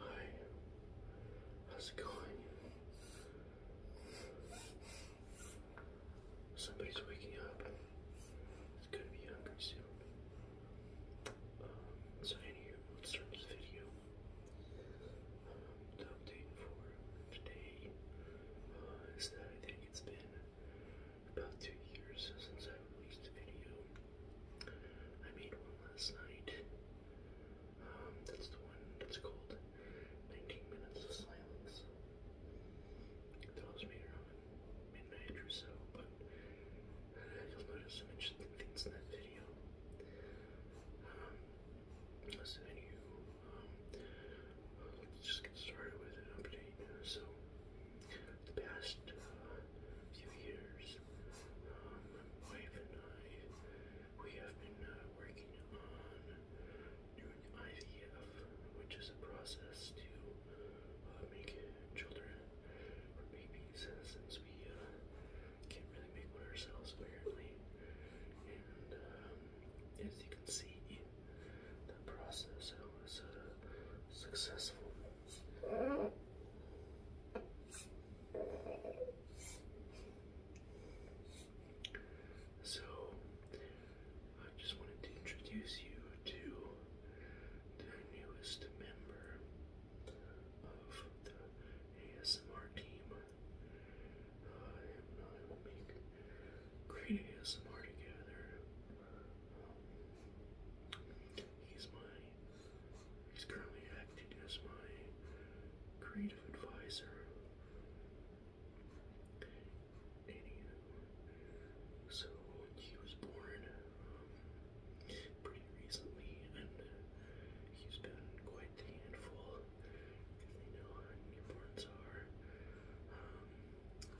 Hi, how's it going? Somebody's waking up. It's gonna be hungry soon. Um, so anyway, let's start this video. Um, for today uh, I think it's been about two years since I released a video. I made one last night. Um, that's the one that's called 19 Minutes of Silence. That was made around midnight or so, but you'll notice some interesting things in that video. Um, so, anywho, um, let's just get started with an update uh, so the past uh, few years, um, my wife and I, we have been uh, working on doing IVF, which is a process to uh, make children or babies uh, since we uh, can't really make one ourselves apparently. And um, as you can see, the process was uh, successful. So, I just wanted to introduce you to the newest member of the ASMR team. I am not creating ASMR together. he's my, he's currently acting as my creative advisor. so he was born um, pretty recently, and he's been quite the handful. Because know how newborns are. Um,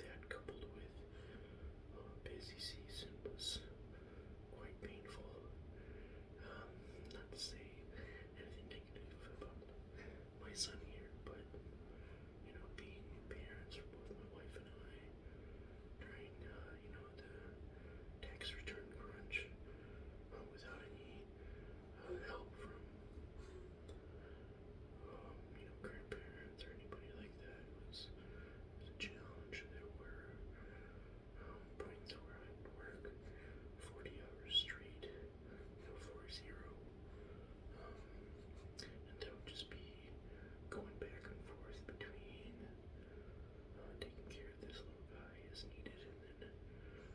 that, coupled with a busy season, was quite painful. Um, not to say anything negative about my son here, but you know, being parents for both my wife and I during uh, you know the tax return crunch uh, without any uh, help from, um, you know, grandparents or anybody like that. It was, it was a challenge. There were um, points where I would work 40 hours straight, you know, four zero, um, and that would just be going back and forth between uh, taking care of this little guy as needed, and then,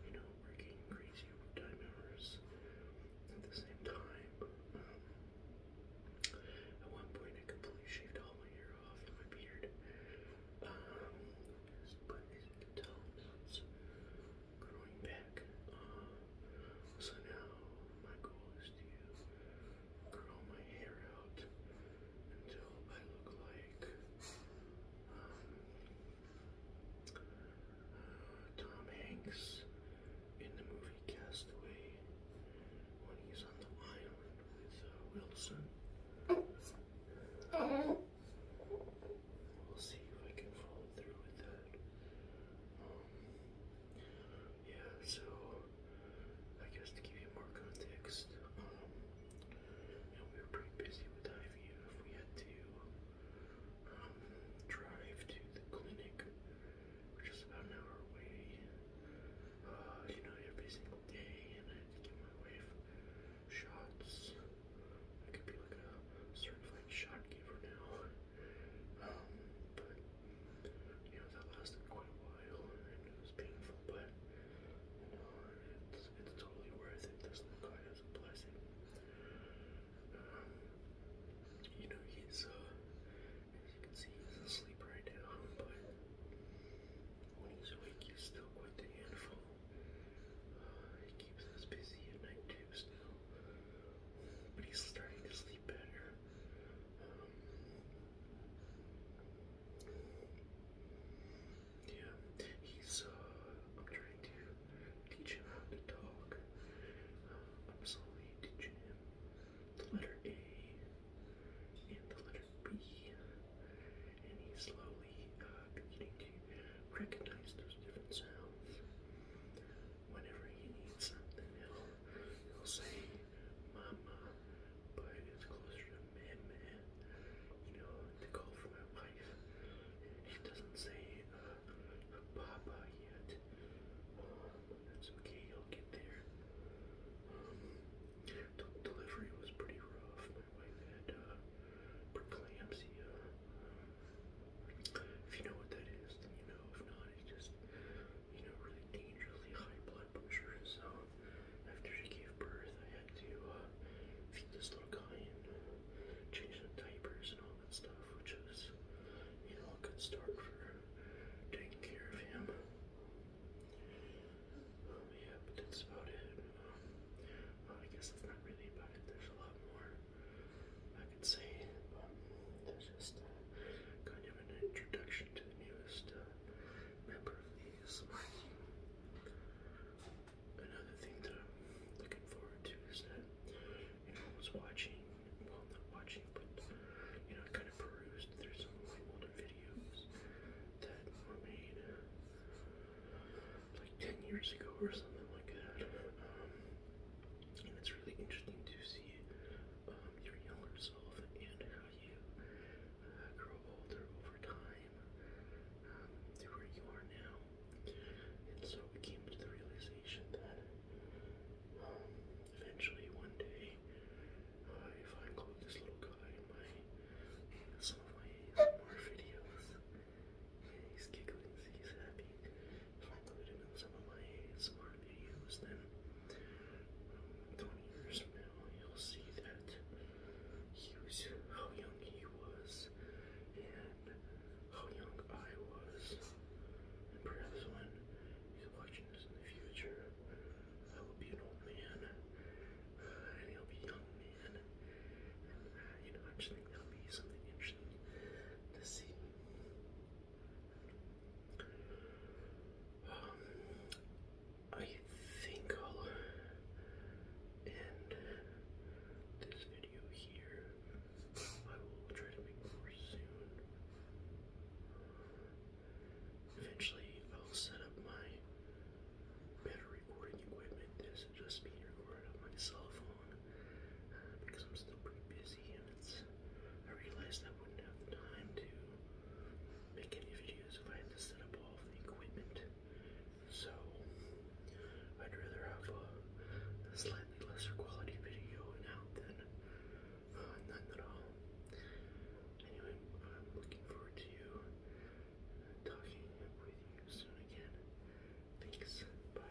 you know, working crazy overtime hours at the same time. Um, at one point, I completely shaved all my hair off and my beard. Um, but as it's growing back. Uh, so now my goal is to grow my hair out until I look like um, Tom Hanks in the movie Castaway when he's on the island with uh, Wilson. We'll see if I can follow through with that. Um, yeah, so I guess to give you more context, um, we were pretty busy with IVF. We had to drive to the clinic, which is about an hour away, uh, you know, every single day, and I give my wife shots. I could be like a certified shot giver now, um, but, you know, that lasted quite a while, and it was painful, but, it's, it's totally worth it. This little it's a blessing. Um, you know, he's, uh, he's asleep right now, but when he's awake, he's still quite the handful. Uh, he keeps us busy at night, too, still. But he's starting to sleep better. Um, yeah, he's, uh, I'm trying to teach him how to talk. Um, I'm slowly teaching him the letter A and the letter B, and he's slowly uh, beginning to recognize those different sounds. Whenever he needs something, he'll, he'll say mama, but it's closer to meme you know the call from my wife. It doesn't say uh, Papa yet. Oh, that's okay. I'll get there. Um, delivery was pretty rough. My wife had uh, preeclampsia. if you know what that is, then you know. If not, just you know really dangerously high blood blood so after she gave birth, I had to uh, feed this little guy and uh, change the diapers and all that stuff, which is, you know, a good start for taking care of him. Um, yeah, but that's about it. Um, I guess that's not really about it. There's a lot more I could say, but um, that's just uh, kind of an introduction to the newest uh, member of the is another thing that I'm looking forward to is that you know I was watching well not watching but you know I kind of perused through some of my older videos that were made like 10 years ago or something like that um, and it's really interesting to see um, your younger self and how you uh, grow older over time um, where you are now. And so we came to the realization that um, eventually one day, uh, if I this little guy in my some of my ASMR videos, he's giggling, he's happy. If him in some of my ASMR videos, then um, 20 years you'll see that he was how young he was and how young I was. And perhaps when he's watching this in the future, I will be an old man uh, and he'll be a young man. And, uh, you know, I just think that'll be something interesting to see. Um, I think I'll end this video here. I will try to make more soon. Eventually, I'll set up my better recording equipment. This is just being recorded on my cell phone uh, because I'm still pretty busy minutes. I realized I wouldn't have the time to make any videos if I had to set up all of the equipment. So I'd rather have a, slightly lesser quality video now than uh, none at all. Anyway, I'm looking forward to talking with you soon again. Thanks. Bye.